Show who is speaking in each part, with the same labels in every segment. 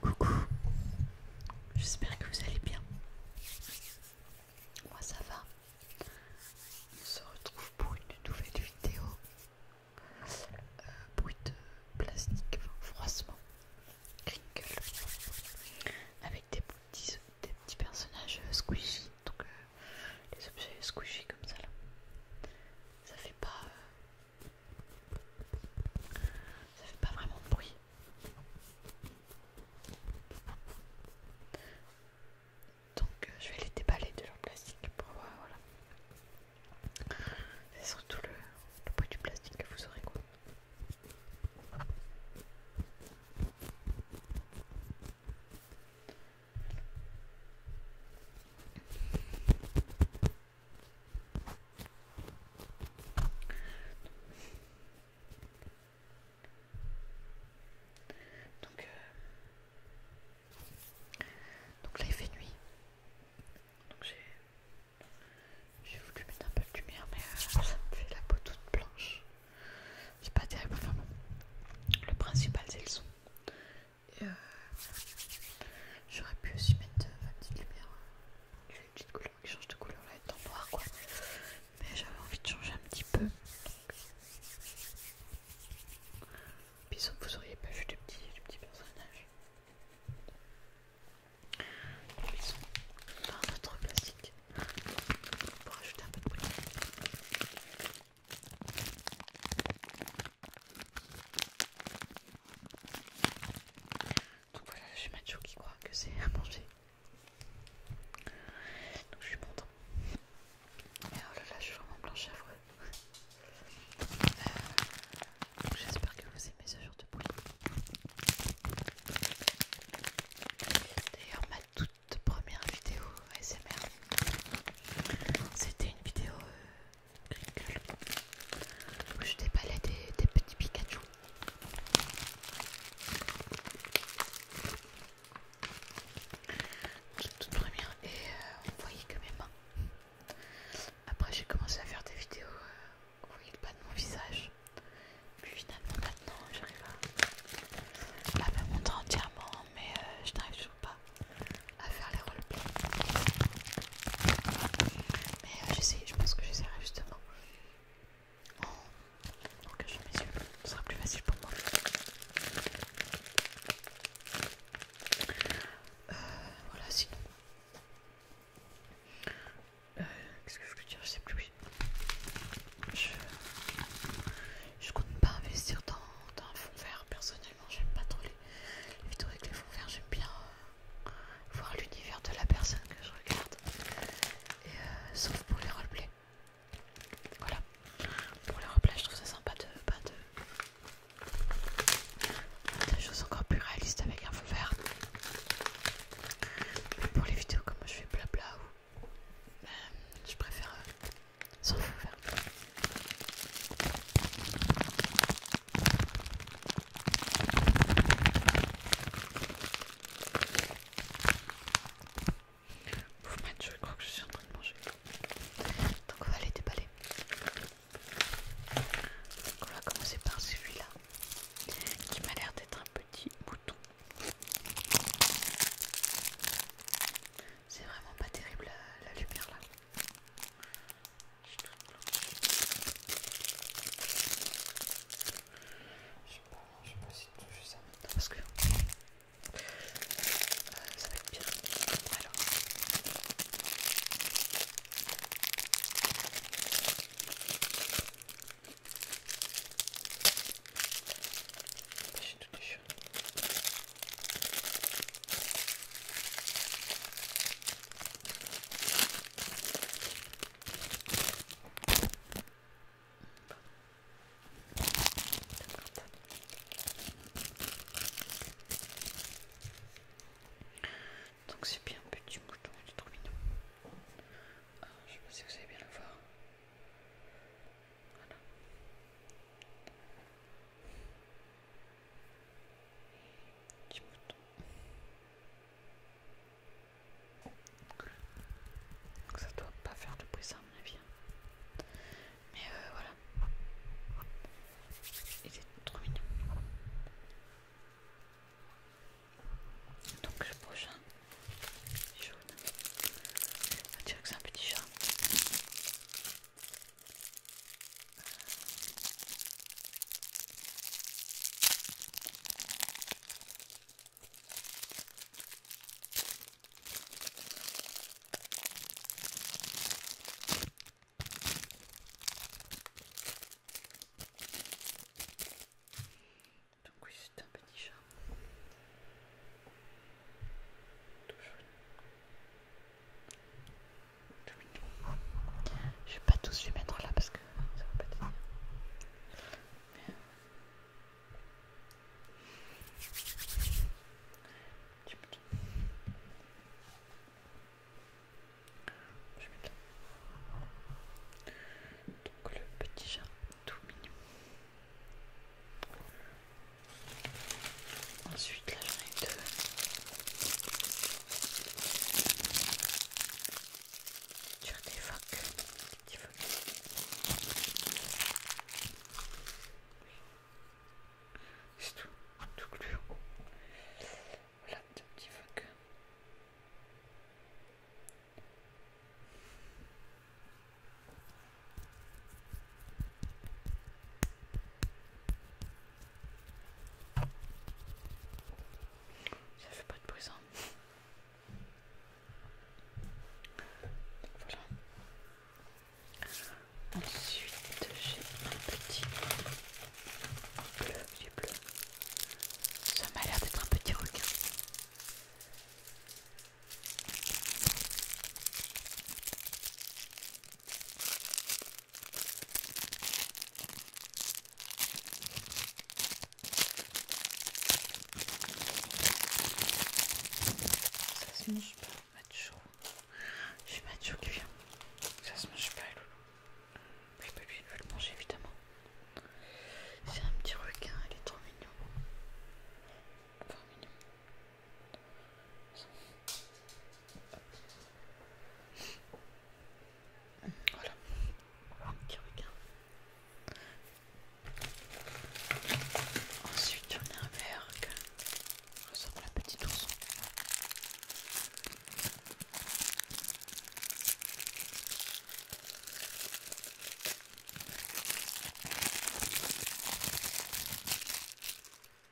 Speaker 1: Coucou, j'espère que vous allez bien. Moi ça va. On se retrouve pour une nouvelle vidéo. Euh, bruit de plastique, froissement, crinkle, avec des petits, personnages euh, squishy. Donc euh, les objets squishy comme ça Ça fait pas. Euh, ça fait pas vraiment de bruit. Donc euh, je vais les déballer de leur plastique pour voir, voilà. C'est surtout le, bruit du plastique que vous aurez quoi. Euh, donc, là il fait nuit. Donc j'ai voulu mettre un peu de lumière mais euh, ça me fait la peau toute blanche. C'est pas terrible, enfin bon. Le principal c'est le son et euh, j'aurais pu aussi mettre euh, ma petite lumière euh, une petite couleur qui change de couleur là en temporaire quoi mais j'avais envie de changer un petit peu puisque vous auriez pas vu du petits, des petits personnages ils notre dans un plastique pour ajouter un peu de couleur donc voilà, je suis macho qui croit que c'est à manger. Donc je suis content. oh là là, je suis vraiment blanche à euh, Donc J'espère que vous aimez ce genre de bruit. D'ailleurs, ma toute première vidéo c'était une vidéo euh, rigole où je déballais des, petits Pikachu. Toute première, et euh, on voyait que mes mains. Après, j'ai commencé à faire des vidéos euh, où on voyait pas de mon visage. Puis finalement, maintenant, j'arrive à, la me montrer entièrement, mais je n'arrive pas à faire les roleplays. Mais j'essaye euh, j'essaie, je pense que j'essaierai justement en, cachant mes yeux, ce sera plus facile pour moi. Euh, voilà, sinon. Euh, qu'est-ce que je veux dire Je sais plus. Oui. Je, compte pas investir dans, un fond vert personnel j'aime pas trop les, vidéos avec les fonds verts, j'aime bien euh, voir l'univers de la personne que je regarde, et, euh, sauf pour les roleplays. Voilà, pour les roleplays je trouve ça sympa de... Pas de... des choses encore plus réalistes avec un fond vert. Mais pour les vidéos comme je fais blabla euh, je préfère faire fout, Vous Ouf, je crois que je suis en train de manger. Donc on va aller déballer. Donc on va commencer par celui-là, qui m'a l'air d'être un petit bouton. C'est vraiment pas terrible la lumière là. Je suis sais pas, je sais pas si tout ça parce que ça va être bien. Alors. J'ai tout déchiré. Donc c'est bien petit mouton, du trop je ah, je sais pas si vous allez bien le voir. Donc ça doit pas faire de bruit ça à mon avis. Mais euh, voilà. Il est trop mignon. Donc le prochain jaune. On dirait que c'est un petit chat. Donc oui, c'est un petit chat. Je vais pas tous les mettre là parce que ça va pas te dire Je mettre là. Donc le petit chat tout mignon. Ensuite, là j'en ai deux. Tu as des phoques, des C'est tout, tout plus haut, Voilà, deux petits phoques. Ça fait pas de bruit Ensuite, j'ai un petit bleu, bleu. Ça m'a l'air d'être un petit requin. Ça se mange pas, macho. Je suis macho qui vient. Ça se mange pas, loulou. lui, il veut le manger évidemment. C'est un petit requin, il est trop mignon. Trop mignon. Voilà. Qui regarde. Ensuite, on a un verre On ressemble à la petite ourson.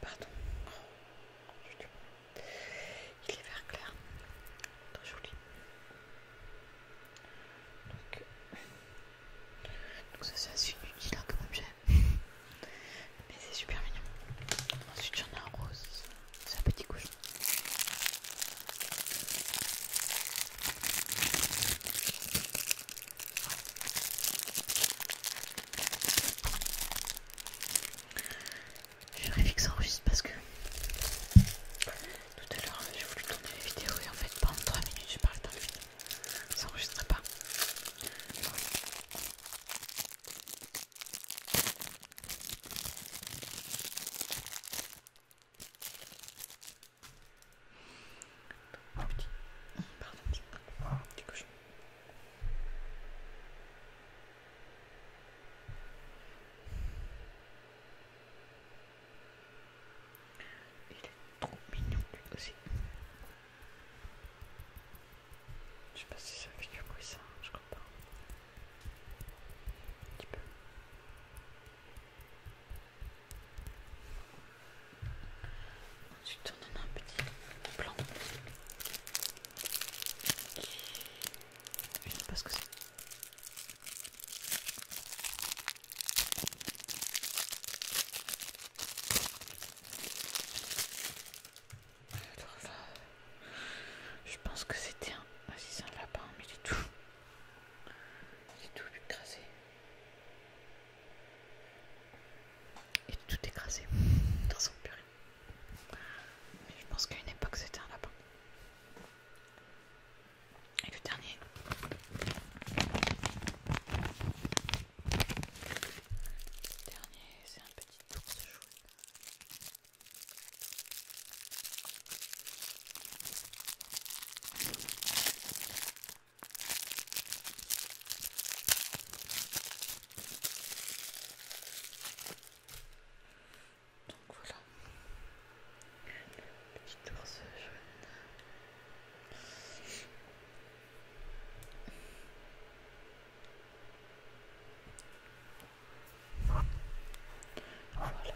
Speaker 1: Pardon. Il est vert clair. Très joli. Donc, ça c'est assez inutile hein, comme objet. Mais c'est super mignon. Ensuite j'en ai un rose. C'est un petit couche. Je vérifie que ça enregistre parce que tout à l'heure j'ai voulu tourner la vidéo et en fait pendant 3 minutes j'ai parlé dans le vide. Ça enregistre pas. Oh, petit. Pardon, petit. Oh, Petit cochon. Il est trop mignon lui aussi. Je sais pas si ça fait du bruit ça, je crois pas. Un petit peu. Ensuite, on en a un petit plan. Je ne sais pas ce que c'est. Je pense que c'était un. Ah si c'est un lapin, mais il est tout. Il est tout écrasé. Et tout écrasé dans son purée. Mais je pense qu'à une époque c'était un lapin. Et le dernier. Le dernier, c'est un petit ours jaune. Donc voilà, le petit jaune. Voilà, voilà.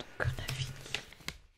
Speaker 1: Donc on a fini.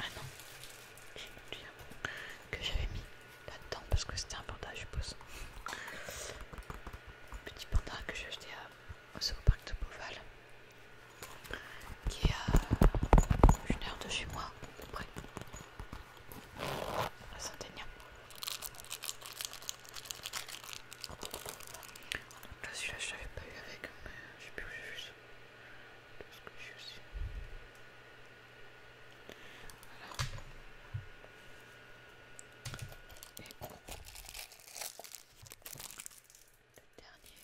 Speaker 1: Ah non, j'ai oublié un que j'avais mis là-dedans parce que c'était un panda, je suppose. Un petit panda que j'ai acheté à, au parc de Beauval, qui est à une heure de chez moi, à près, à saint denis Là celui-là je l'avais pas eu avec, mais euh, je sais plus où j'ai vu ça. Parce que j'ai aussi. Alors, Et le dernier.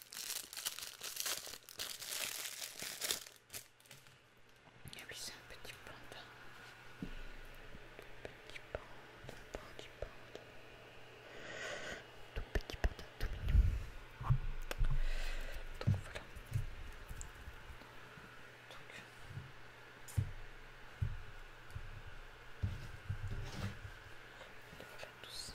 Speaker 1: Et ah oui, c'est un petit panda. Petit panda, petit panda. Tout petit panda, tout Donc voilà. Donc. tous.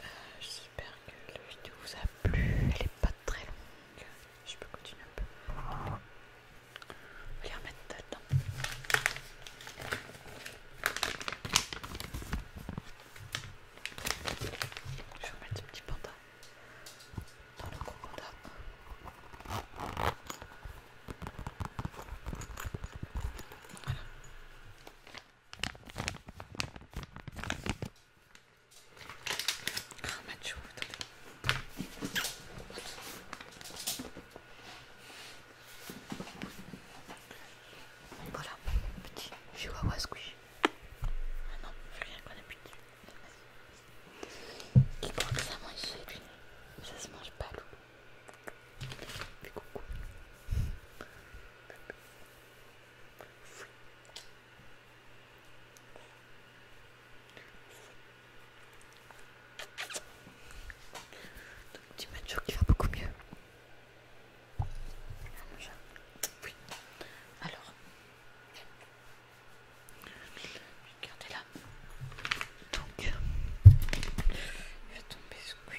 Speaker 1: Euh, j'espère que la vidéo vous a plu. Elle n'est pas très longue. Je peux continuer un peu. On va les remettre dedans. Je vais mettre ce petit panda dans le gros panda. Voilà. Ah, Mathieu, attendez. Voilà, petit chihuahua squish. Ah non, je rien qu'on a plus de Qui croit que ça mange chez lui Ça se mange pas, loup. Fais coucou. Donc dimanche, qui va beaucoup mieux. Alors, regardez là. Donc, il va tomber sous lui.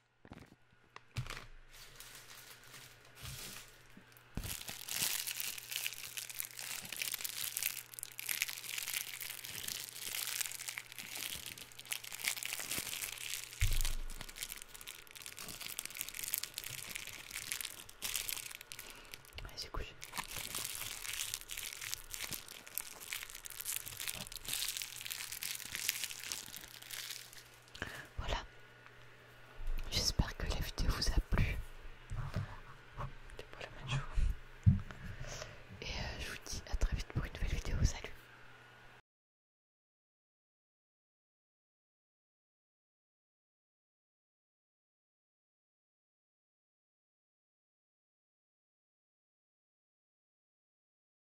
Speaker 1: Allez, c'est couché. Voilà. J'espère que la vidéo vous a plu. Et euh, je vous dis à très vite pour une nouvelle vidéo. Salut